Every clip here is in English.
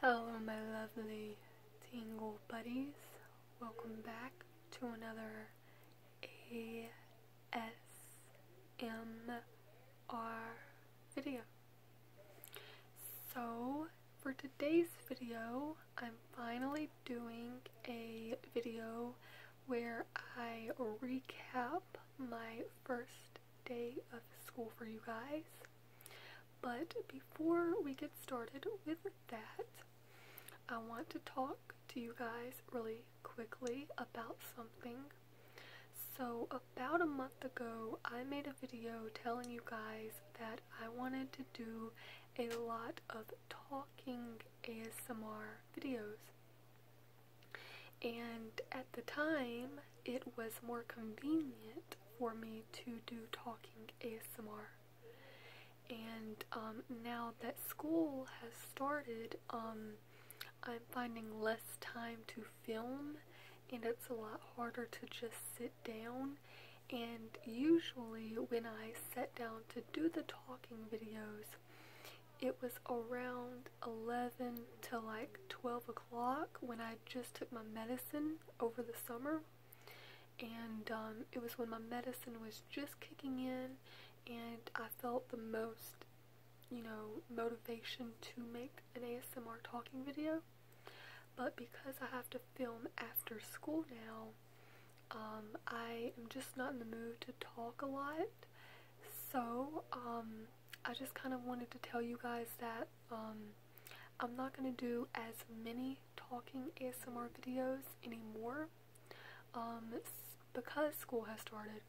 Hello, my lovely tingle buddies. Welcome back to another ASMR video. So, for today's video, I'm finally doing a video where I recap my first day of school for you guys. But before we get started with that, I want to talk to you guys really quickly about something. So, about a month ago, I made a video telling you guys that I wanted to do a lot of talking ASMR videos. And at the time, it was more convenient for me to do talking ASMR. And um, now that school has started, um, I'm finding less time to film, and it's a lot harder to just sit down. And usually, when I sat down to do the talking videos, it was around 11 to like 12 o'clock when I just took my medicine over the summer, and um, it was when my medicine was just kicking in, and I felt the most, you know, motivation to make an ASMR talking video. But because I have to film after school now, um, I am just not in the mood to talk a lot. So, um, I just kind of wanted to tell you guys that um, I'm not going to do as many talking ASMR videos anymore um, because school has started.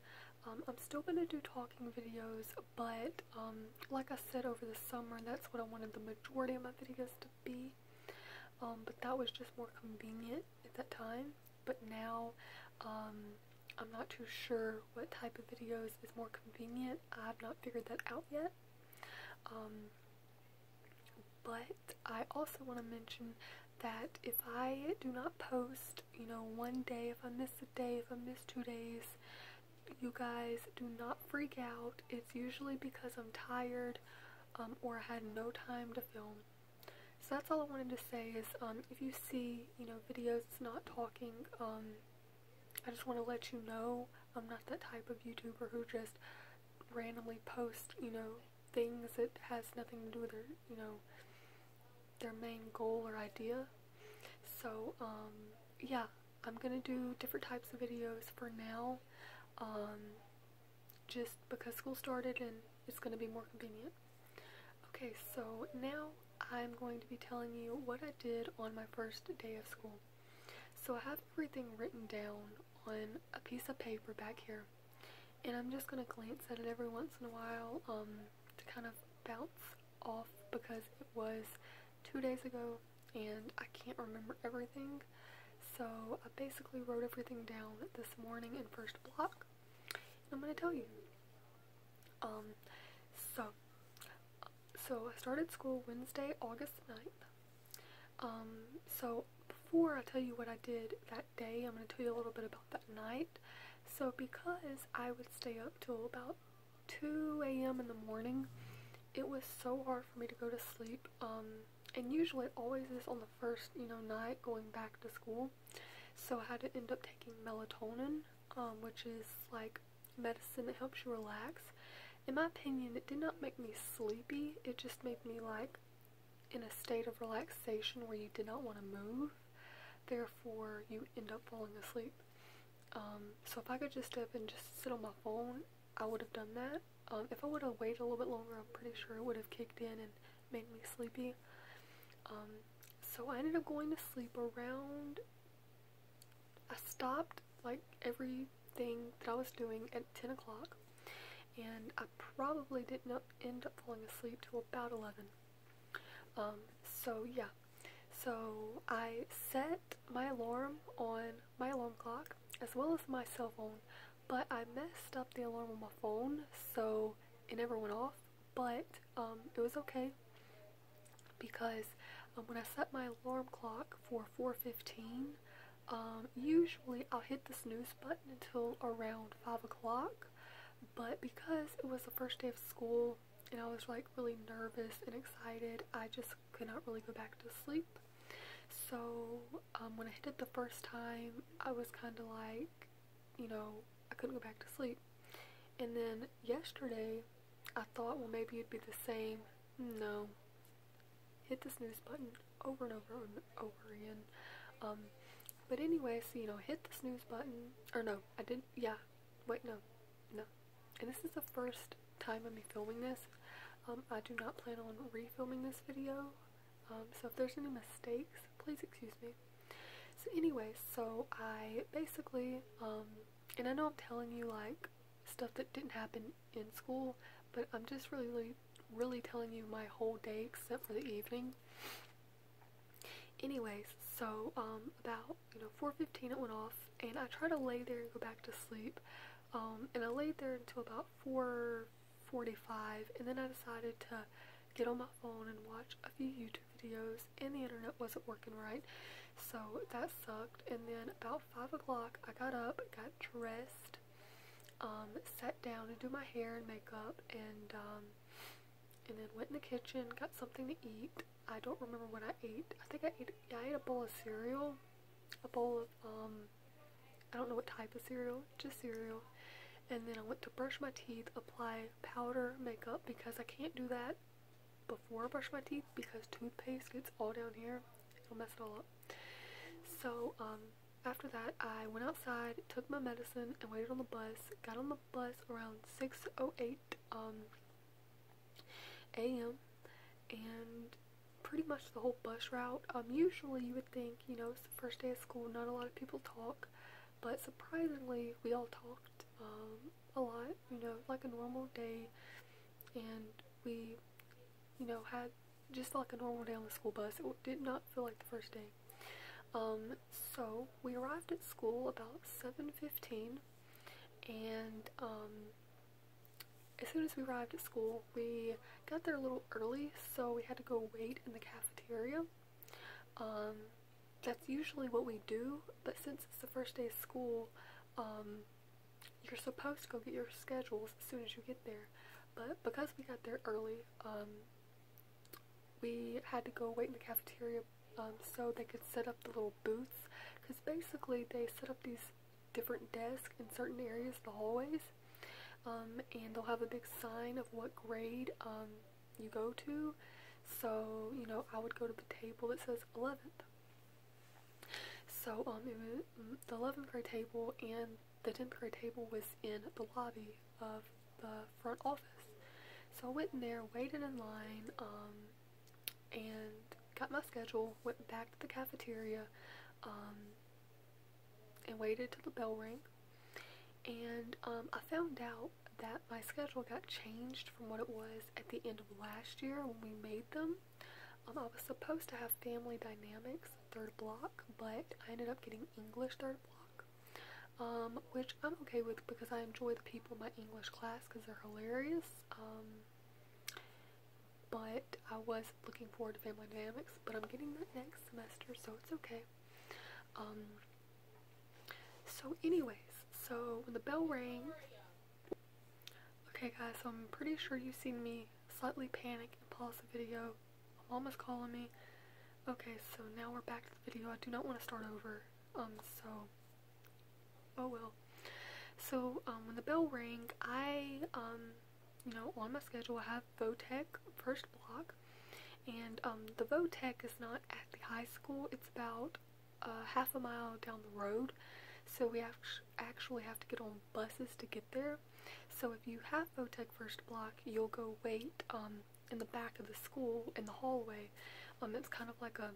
Um, I'm still going to do talking videos, but like I said over the summer, that's what I wanted the majority of my videos to be. but that was just more convenient at that time. But now, I'm not too sure what type of videos is more convenient. I have not figured that out yet. Um, but I also want to mention that if I do not post, you know, one day, if I miss a day, if I miss two days, you guys do not freak out. It's usually because I'm tired um, or I had no time to film. So that's all I wanted to say is um, if you see, you know, videos not talking, I just want to let you know I'm not that type of YouTuber who just randomly posts, you know, things that has nothing to do with their, you know, their main goal or idea. So, um, yeah, I'm gonna do different types of videos for now, um, just because school started and it's gonna be more convenient. Okay, so now I'm going to be telling you what I did on my first day of school. So I have everything written down on a piece of paper back here. And I'm just going to glance at it every once in a while um, to kind of bounce off because it was two days ago and I can't remember everything. So I basically wrote everything down this morning in first block. And I'm going to tell you. Um, so, so I started school Wednesday, August 9th. Um, so before I tell you what I did that day, I'm going to tell you a little bit about that night. So because I would stay up till about 2 a.m. in the morning, it was so hard for me to go to sleep. Um, and usually it always is on the first, you know, night going back to school. So I had to end up taking melatonin, um, which is like medicine. that helps you relax. In my opinion, it did not make me sleepy. It just made me like in a state of relaxation where you did not want to move. Therefore, you end up falling asleep. Um, so if I could just step and just sit on my phone, I would have done that. Um, if I would have waited a little bit longer, I'm pretty sure it would have kicked in and made me sleepy. Um, so I ended up going to sleep around I stopped like everything that I was doing at 10 o'clock and I probably didn't end up falling asleep till about 11. Um, so yeah, so I set my alarm on my alarm clock as well as my cell phone, but I messed up the alarm on my phone so it never went off, but um, it was okay because um, when I set my alarm clock for 4:15, um, usually I'll hit the snooze button until around 5 o'clock. But because it was the first day of school and I was like really nervous and excited, I just could not really go back to sleep. So um, when I hit it the first time, I was kind of like, you know, I couldn't go back to sleep. And then yesterday, I thought, well, maybe you would be the same. No. Hit the snooze button over and over and over again. Um, but anyway, so, you know, hit the snooze button. Or no, I didn't. Yeah. Wait, no. No. And this is the first time I'm filming this. Um, I do not plan on refilming this video. Um, so if there's any mistakes, please excuse me. So anyway, so I basically, and I know I'm telling you like stuff that didn't happen in school, but I'm just really, really, telling you my whole day except for the evening. Anyways, so um, about you know 4:15 it went off, and I tried to lay there and go back to sleep, um, and I laid there until about 4:45, and then I decided to get on my phone and watch a few YouTube videos and the internet wasn't working right. So that sucked. And then about 5 o'clock, I got up, got dressed, um, sat down to do my hair and makeup, and, um, and then went in the kitchen, got something to eat. I don't remember what I ate. I think I ate, I ate a bowl of cereal, a bowl of, um, I don't know what type of cereal, just cereal. And then I went to brush my teeth, apply powder makeup because I can't do that before I brush my teeth because toothpaste gets all down here. It'll mess it all up. So, um, after that, I went outside, took my medicine, and waited on the bus. Got on the bus around 6.08 um, a.m. And pretty much the whole bus route. Um, usually you would think, you know, it's the first day of school, not a lot of people talk. But surprisingly, we all talked. Um, a lot, you know, like a normal day, and we, you know, had just like a normal day on the school bus. It did not feel like the first day. Um, so we arrived at school about 7:15, and um, as soon as we arrived at school, we got there a little early, so we had to go wait in the cafeteria. Um, that's usually what we do, but since it's the first day of school, um, you're supposed to go get your schedules as soon as you get there. But because we got there early, um, we had to go wait in the cafeteria um, so they could set up the little booths. Because basically they set up these different desks in certain areas, the hallways, and they'll have a big sign of what grade you go to. So, you know, I would go to the table that says 11th. So um, mm, the 11 per table and the 10 per table was in the lobby of the front office. So I went in there, waited in line, um, and got my schedule, went back to the cafeteria, um, and waited till the bell rang. And um, I found out that my schedule got changed from what it was at the end of last year when we made them, um, I was supposed to have family dynamics third block, but I ended up getting English third block, um, which I'm okay with because I enjoy the people in my English class because they're hilarious. Um, but I was looking forward to family dynamics, but I'm getting that next semester, so it's okay. so anyways, so when the bell rang, Okay guys, so I'm pretty sure you've seen me slightly panic and pause the video. My mom is calling me. Okay, so now we're back to the video. I do not want to start over. Um, so, oh well. So, um, when the bell rang, I, um, you know, on my schedule, I have Votek first block. And, um, the Votek is not at the high school. It's about half a mile down the road. So we actually have to get on buses to get there. So if you have Votech First Block, you'll go wait um, in the back of the school in the hallway. Um, it's kind of like a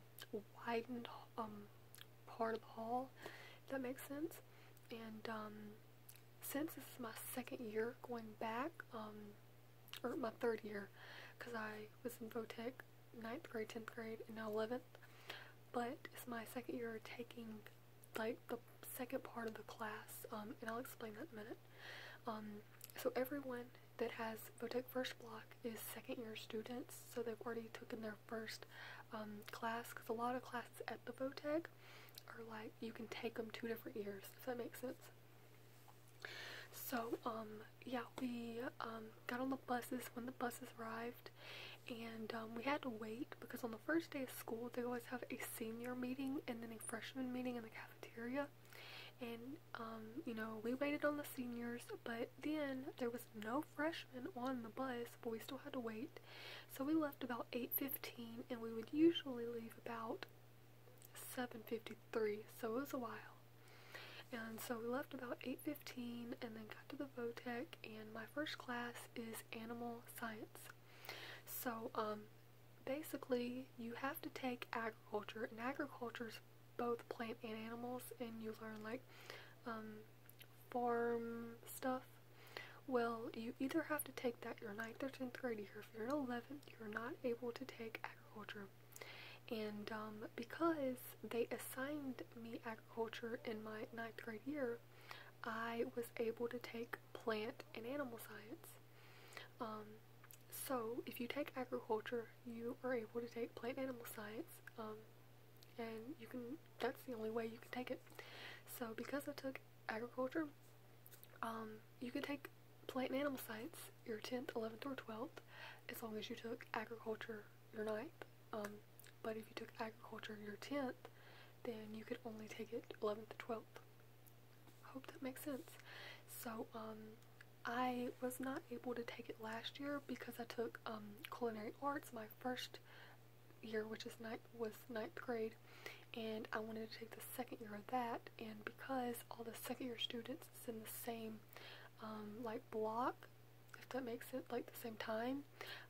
widened um, part of the hall, if that makes sense. And um, since this is my second year going back, or my third year, because I was in Votech ninth grade, 10th grade, and now 11th. But it's my second year taking like the second part of the class, um, and I'll explain that in a minute. Um, so everyone that has Votech First Block is second year students, so they've already taken their first um, class, because a lot of classes at the Votech are like, you can take them two different years, if that makes sense. So, um, yeah, we um, got on the buses when the buses arrived, and um, we had to wait because on the first day of school they always have a senior meeting and then a freshman meeting in the cafeteria. And um, you know, we waited on the seniors, but then there was no freshmen on the bus, but we still had to wait. So we left about 8:15, and we would usually leave about 7:53. So it was a while. And so we left about 8.15 and then got to the Votek. and my first class is animal science. So um, basically you have to take agriculture and agriculture is both plant and animals and you learn like um, farm stuff. Well, you either have to take that, you're 9th or 10th grade here. If you're in 11th, you're not able to take agriculture. And um, because they assigned me agriculture in my ninth grade year, I was able to take plant and animal science. Um, so if you take agriculture, you are able to take plant and animal science, um, and you can, that's the only way you can take it. So because I took agriculture, you could take plant and animal science your 10th, 11th, or 12th as long as you took agriculture your ninth. Um, but if you took agriculture your 10th, then you could only take it 11th to 12th. I hope that makes sense. So, um, I was not able to take it last year because I took um, culinary arts my first year, which is ninth, was ninth grade, and I wanted to take the second year of that. And because all the second year students is in the same like block, if that makes it like the same time.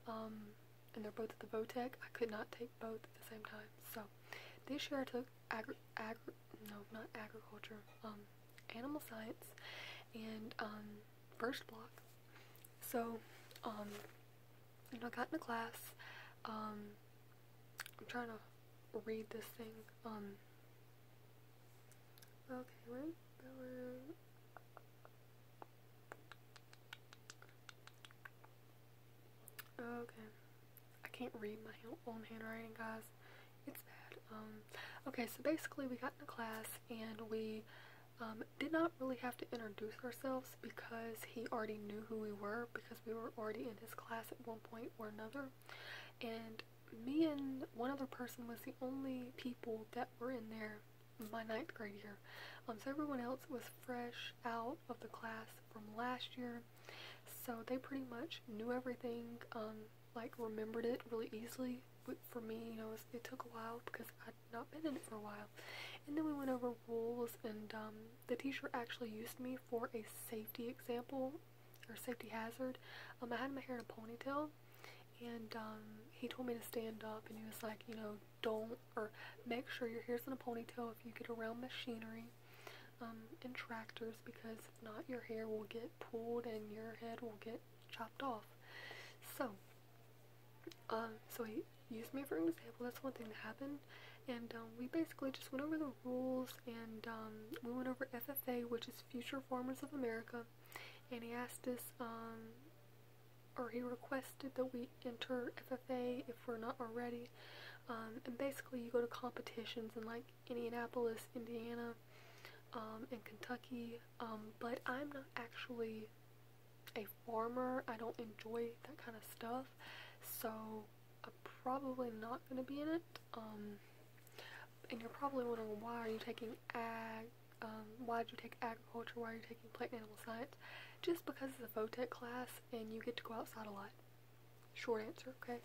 Um, and they're both at the Votech. I could not take both at the same time. So this year I took agri, no, not agriculture, um, animal science and um, first block. So, you know, I got in a class. I'm trying to read this thing. Okay, Okay. I can't read my own handwriting, guys. It's bad. Um, okay, so basically we got in the class and we um, did not really have to introduce ourselves because he already knew who we were because we were already in his class at one point or another. And me and one other person was the only people that were in there my ninth grade year. Um, so everyone else was fresh out of the class from last year. So they pretty much knew everything, um, like remembered it really easily. For me, it took a while because I'd not been in it for a while. And then we went over rules and um, the teacher actually used me for a safety example or safety hazard. Um, I had my hair in a ponytail, and um, he told me to stand up, and he was like, you know, don't or make sure your hair's in a ponytail if you get around machinery um, and tractors, because if not, your hair will get pulled and your head will get chopped off. So, um, so he used me for an example. That's one thing that happened. And we basically just went over the rules and we went over FFA, which is Future Farmers of America and he asked us, um, or he requested that we enter FFA if we're not already. Um, and basically, you go to competitions in like Indianapolis, Indiana, um, and Kentucky. Um, but I'm not actually a farmer. I don't enjoy that kind of stuff, so I'm probably not gonna be in it and you're probably wondering why are you taking ag, um, why did you take agriculture, why are you taking plant and animal science? Just because it's a photech class and you get to go outside a lot. Short answer, okay?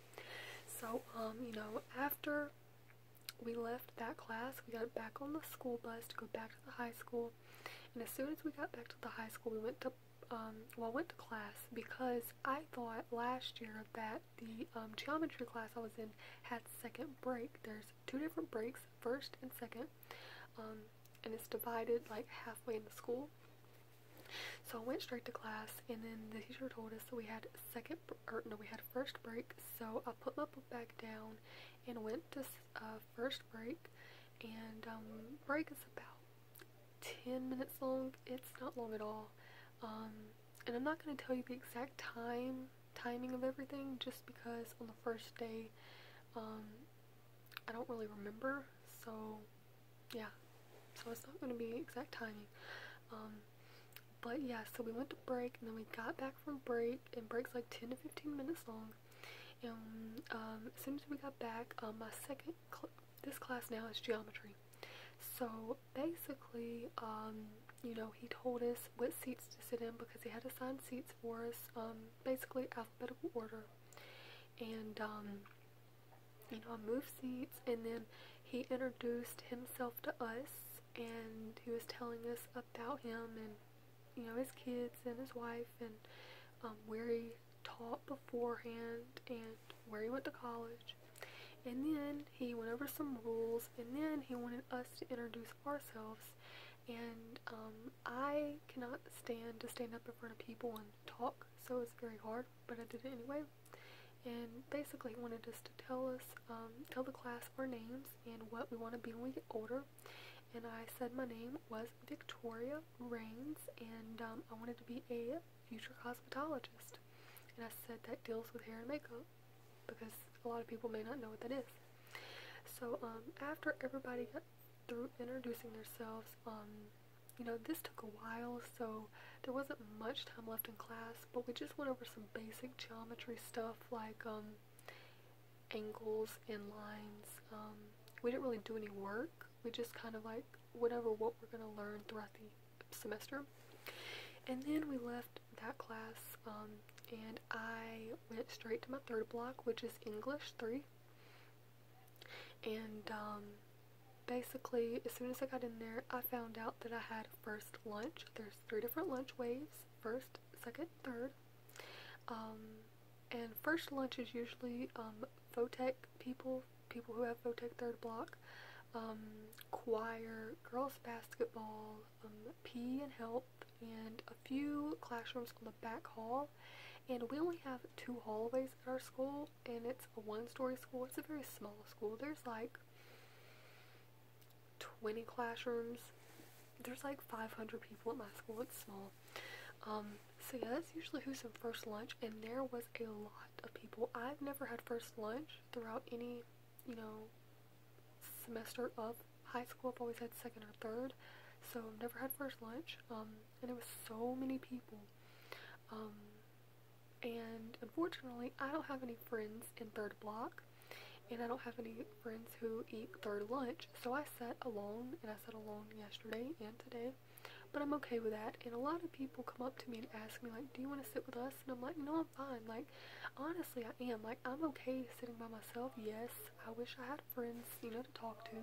So, um, you know, after we left that class, we got back on the school bus to go back to the high school. And as soon as we got back to the high school, we went to, um, well, I went to class because I thought last year that the um, geometry class I was in had second break. There's two different breaks, first and second, um, and it's divided like halfway in the school. So I went straight to class, and then the teacher told us that we had second, or no, we had first break. So I put my book back down and went to uh, first break, and um, break is about 10 minutes long. It's not long at all and I'm not going to tell you the exact time, timing of everything, just because on the first day, um, I don't really remember, so yeah, so it's not going to be exact timing, um, but yeah, so we went to break, and then we got back from break, and break's like 10 to 15 minutes long, and um, as soon as we got back, um, my second, this class now is geometry, so basically, um, you know, he told us what seats to sit in because he had assigned seats for us, um, basically alphabetical order. And, um, you know, I moved seats and then he introduced himself to us and he was telling us about him and, you know, his kids and his wife and um, where he taught beforehand and where he went to college. And then he went over some rules, and then he wanted us to introduce ourselves. And um, I cannot stand to stand up in front of people and talk, so it's very hard, but I did it anyway. And basically, he wanted us to tell us, um, tell the class our names and what we want to be when we get older. And I said my name was Victoria Rains, and um, I wanted to be a future cosmetologist. And I said that deals with hair and makeup because a lot of people may not know what that is. So um, after everybody got through introducing themselves, um, you know, this took a while, so there wasn't much time left in class, but we just went over some basic geometry stuff like um, angles and lines. we didn't really do any work. We just kind of like whatever what we're going to learn throughout the semester. And then we left that class, um, and I went straight to my third block, which is English 3. And um, basically, as soon as I got in there, I found out that I had first lunch. There's three different lunch waves first, second, third. Um, and first lunch is usually um, people, people who have FOTEC third block um, choir, girls basketball, um, PE and health, and a few classrooms on the back hall. And we only have two hallways at our school, and it's a one-story school. It's a very small school. There's like 20 classrooms. There's like 500 people at my school. It's small. Um, so yeah, that's usually who's in first lunch, and there was a lot of people. I've never had first lunch throughout any you know, semester of high school. I've always had second or third, so I've never had first lunch. Um, and it was so many people. Um, and unfortunately, I don't have any friends in third block, and I don't have any friends who eat third lunch. So I sat alone, and I sat alone yesterday and today. But I'm okay with that. And a lot of people come up to me and ask me, like, do you want to sit with us? And I'm like, no, fine. Like, honestly, I am. Like, I'm okay sitting by myself. Yes, I wish I had friends, you know, to talk to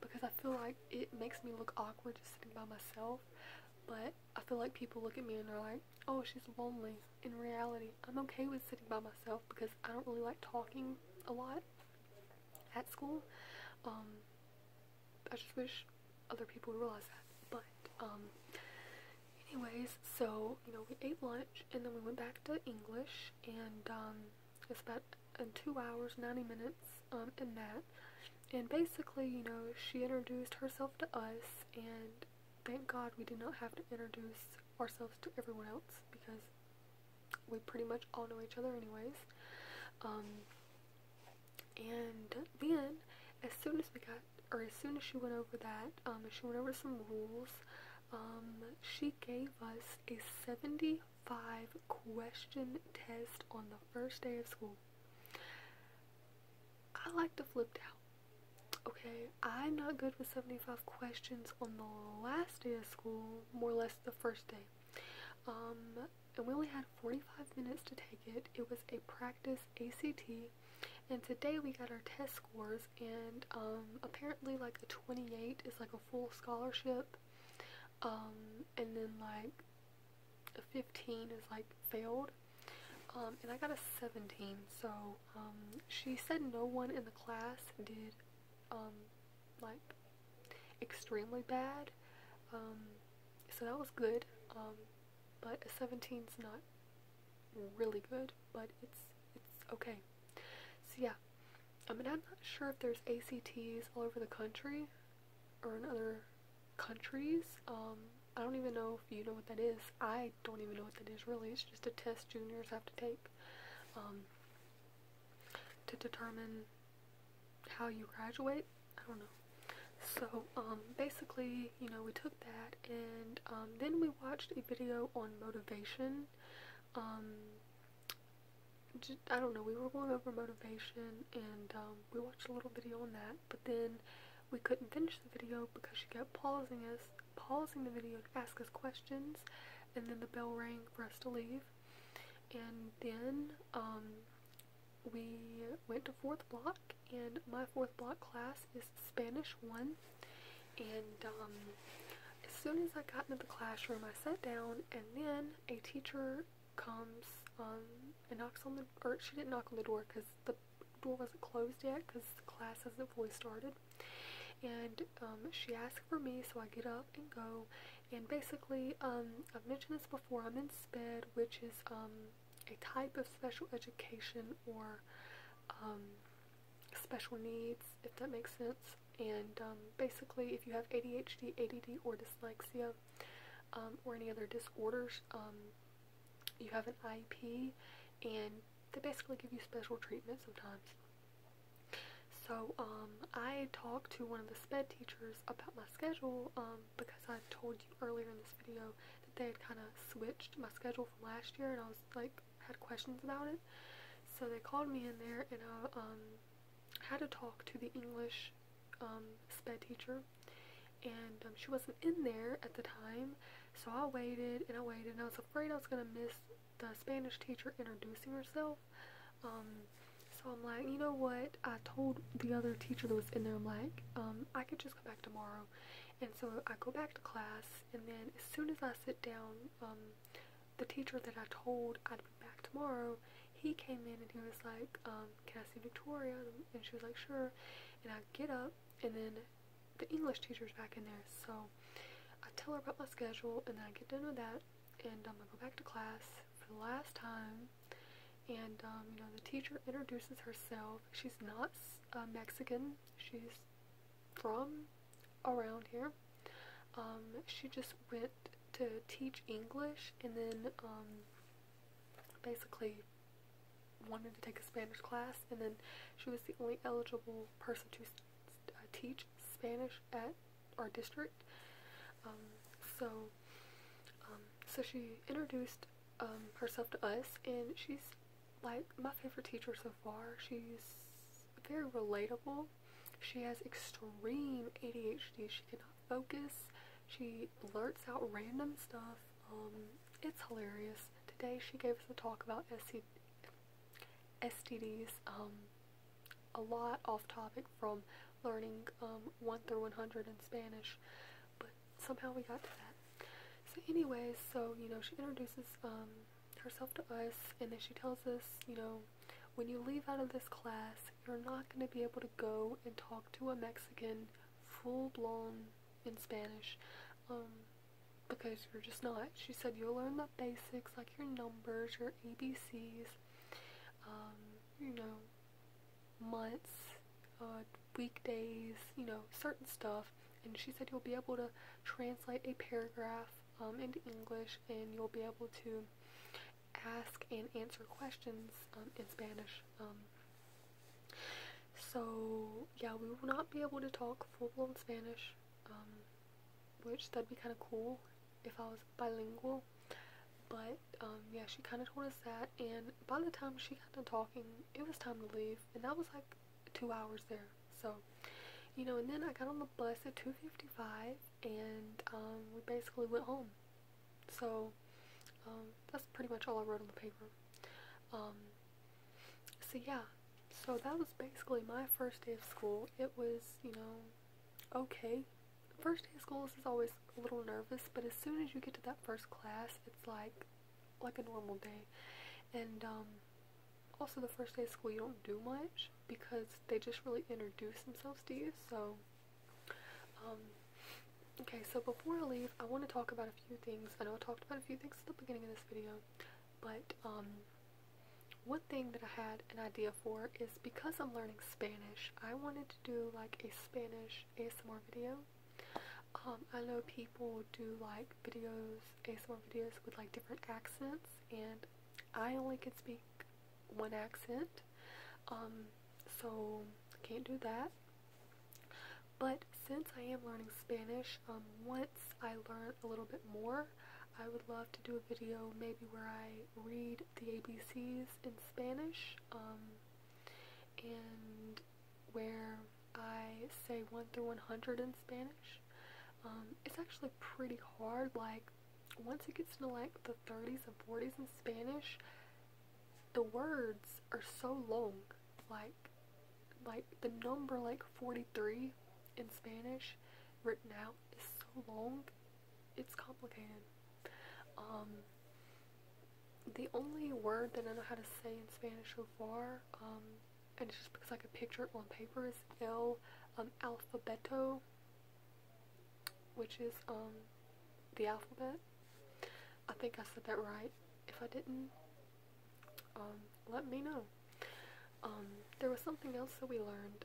because I feel like it makes me look awkward just sitting by myself. But I feel like people look at me and they're like, oh, she's lonely. In reality, I'm okay with sitting by myself because I don't really like talking a lot at school. Um, I just wish other people would realize that. But, um, Anyways, so, you know, we ate lunch and then we went back to English and, um, it's about two hours, 90 minutes, um, in that. And basically, you know, she introduced herself to us and thank God we did not have to introduce ourselves to everyone else because we pretty much all know each other anyways. Um, and then, as soon as we got or as soon as she went over that, um, she went over some rules, um, she gave us a 75 question test on the first day of school. I like to flip out. Okay, I'm not good with 75 questions on the last day of school, more or less the first day. Um, and we only had 45 minutes to take it. It was a practice ACT and today we got our test scores and um, apparently like a 28 is like a full scholarship um, and then like a 15 is like failed um, and I got a 17 so um, she said no one in the class did um, like extremely bad um, so that was good but a 17's not really good, but it's it's okay. So yeah, I mean I'm not sure if there's ACTs all over the country or in other countries. Um, I don't even know if you know what that is. I don't even know what that is really. It's just a test juniors have to take um, to determine how you graduate. I don't know. So um, basically, you know, we took that, and um, then we watched a video on motivation. Um, I don't know, we were going over motivation, and um, we watched a little video on that, but then we couldn't finish the video because she kept pausing us, pausing the video to ask us questions, and then the bell rang for us to leave. And then we went to fourth block and my fourth block class is Spanish 1. And um, as soon as I got into the classroom, I sat down, and then a teacher comes um, and knocks on the or she didn't knock on the door because the door wasn't closed yet because class hasn't fully started. And um, she asked for me, so I get up and go. And basically, I've mentioned this before, I'm in SPED, which is a type of special education or um, special needs, if that makes sense. And um, basically, if you have ADHD, ADD, or dyslexia, um, or any other disorders, you have an IP, and they basically give you special treatment sometimes. So I talked to one of the SPED teachers about my schedule because I told you earlier in this video that they had kind of switched my schedule last year and I was like had questions about it. So they called me in there and I um, had to talk to the English um, sped teacher and um, she wasn't in there at the time so I waited and I waited and I was afraid I was going to miss the Spanish teacher introducing herself. so I'm like, you know what? I told the other teacher that was in there, I'm like, I could just come back tomorrow. And so I go back to class, and then as soon as I sit down, um, the teacher that I told I'd be back tomorrow, he came in and he was like, um, can I see Victoria? And she was like, sure. And I get up, and then the English teacher's back in there. So I tell her about my schedule, and then I get done with that, and I'm um, gonna go back to class for the last time. And, um, you know, the teacher introduces herself. She's not uh, Mexican. She's from around here. Um, she just went to teach English and then um, basically wanted to take a Spanish class and then she was the only eligible person to uh, teach Spanish at our district. Um, so, so she introduced herself to us and she's like my favorite teacher so far. She's very relatable. She has extreme ADHD. She cannot focus. She blurts out random stuff. Um, it's hilarious. Today she gave us a talk about SC STDs. Um, a lot off topic from learning um, 1 through 100 in Spanish. But somehow we got to that. So anyways, so, you know, she introduces um, herself to us, and then she tells us, you know, when you leave out of this class, you're not going to be able to go and talk to a Mexican full-blown in Spanish, um, because you're just not. She said you'll learn the basics, like your numbers, your ABCs, um, you know, months, uh, weekdays, you know, certain stuff. And she said you'll be able to translate a paragraph um, into English and you'll be able to ask and answer questions um, in Spanish. Um, so, yeah, we will not be able to talk full-blown Spanish, which that'd be kind of cool if I was bilingual. But, yeah, she kind of told us that and by the time she got done talking, it was time to leave and that was like two hours there. So, you know, and then I got on the bus at 2.55 and um, we basically went home. So, um, that's pretty much all I wrote on the paper. Um, so yeah, so that was basically my first day of school. It was, you know, okay. First day of school is always a little nervous, but as soon as you get to that first class, it's like like a normal day. And um, also, the first day of school, you don't do much because they just really introduce themselves to you. So, um, okay, so before I leave, I want to talk about a few things. I know I talked about a few things at the beginning of this video, but um, one thing that I had an idea for is because I'm learning Spanish, I wanted to do like a Spanish ASMR video. Um, I know people do like videos, ASMR videos with like different accents, and I only can speak one accent, um, so can't do that. But since I am learning Spanish, um, once I learn a little bit more, I would love to do a video maybe where I read the ABCs in Spanish, um, and where I say 1 through 100 in Spanish. Um, it's actually pretty hard. Like, once it gets to like the 30s and 40s in Spanish, the words are so long. Like, like the number like 43 in Spanish written out is so long. It's complicated. Um, the only word that I know how to say in Spanish so far, um, and it's just because I could picture it on paper, is El um, Alfabeto, which is um, the alphabet. I think I said that right. If I didn't, let me know. there was something else that we learned.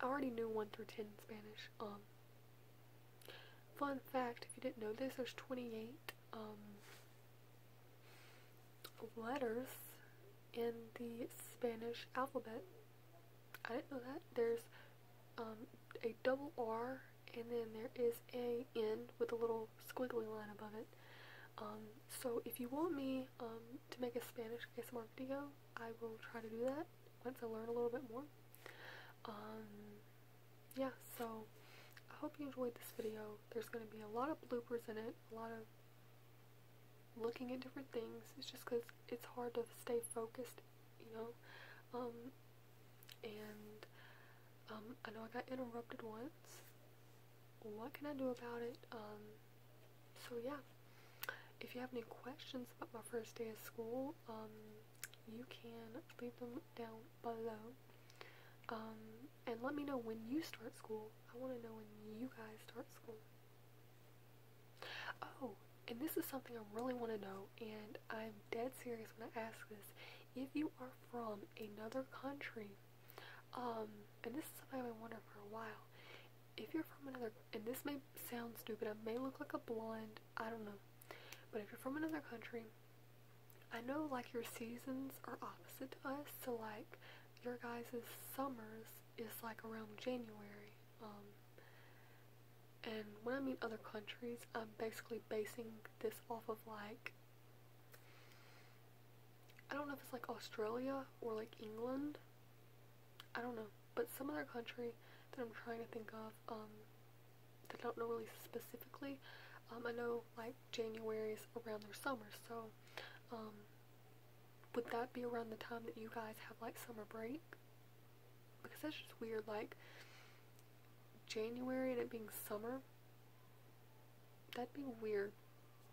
I already knew 1 through 10 in Spanish. Fun fact, if you didn't know this, there's 28 um, letters in the Spanish alphabet. I didn't know that. There's um, a double R and then there is a N with a little squiggly line above it. Um, so if you want me to make a Spanish ASMR video, I will try to do that once I learn a little bit more yeah, so I hope you enjoyed this video. There's going to be a lot of bloopers in it, a lot of looking at different things. It's just because it's hard to stay focused, you know. Um, and um, I know I got interrupted once. What can I do about it? Um, so yeah, if you have any questions about my first day of school, you can leave them down below. Um, and let me know when you start school. I want to know when you guys start school. Oh, and this is something I really want to know, and I'm dead serious when I ask this. If you are from another country, um, and this is something I've been wondering for a while, if you're from another, and this may sound stupid, I may look like a blonde, I don't know, but if you're from another country, I know like your seasons are opposite to us, so like your guys' summers is like around January. Um, and when I mean other countries, I'm basically basing this off of like, I don't know if it's like Australia or like England. I don't know. But some other country that I'm trying to think of, um, I don't know really specifically. Um, I know like January is around their summer, so um, would that be around the time that you guys have like summer break? Because that's just weird, like January and it being summer, that'd be weird.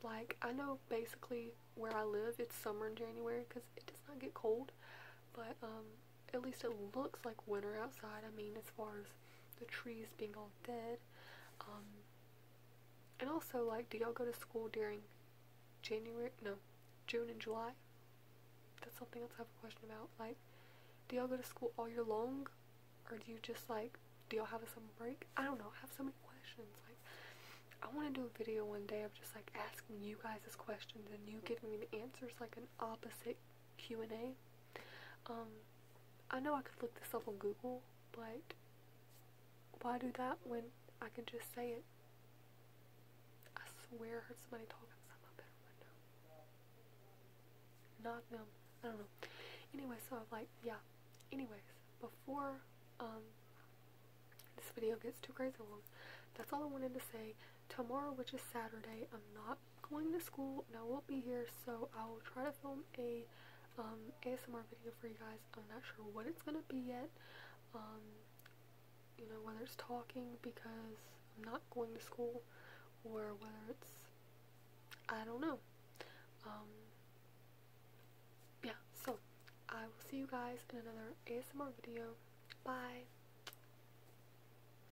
Like, I know basically where I live, it's summer in January because it does not get cold, but um, at least it looks like winter outside. I mean, as far as the trees being all dead. Um, and also, like, do y'all go to school during January? No, June and July? That's something else I have a question about. Like, do y'all go to school all year long? Or do you just, like, do y'all have a summer break? I don't know. I have so many questions. Like, I want to do a video one day of just, like, asking you guys this questions and you giving me the answers, like, an opposite Q&A. Um, I know I could look this up on Google, but why do that when I can just say it? I swear I heard somebody talk outside my bedroom window. Not them. I don't know. Anyway, so I'm like, yeah. Anyways, before um this video gets too crazy that's all I wanted to say. Tomorrow, which is Saturday, I'm not going to school and I won't be here so I'll try to film a um, ASMR video for you guys. I'm not sure what it's going to be yet. Um, you know, whether it's talking because I'm not going to school or whether it's, I don't know. Um, yeah, so I will see you guys in another ASMR video. Bye!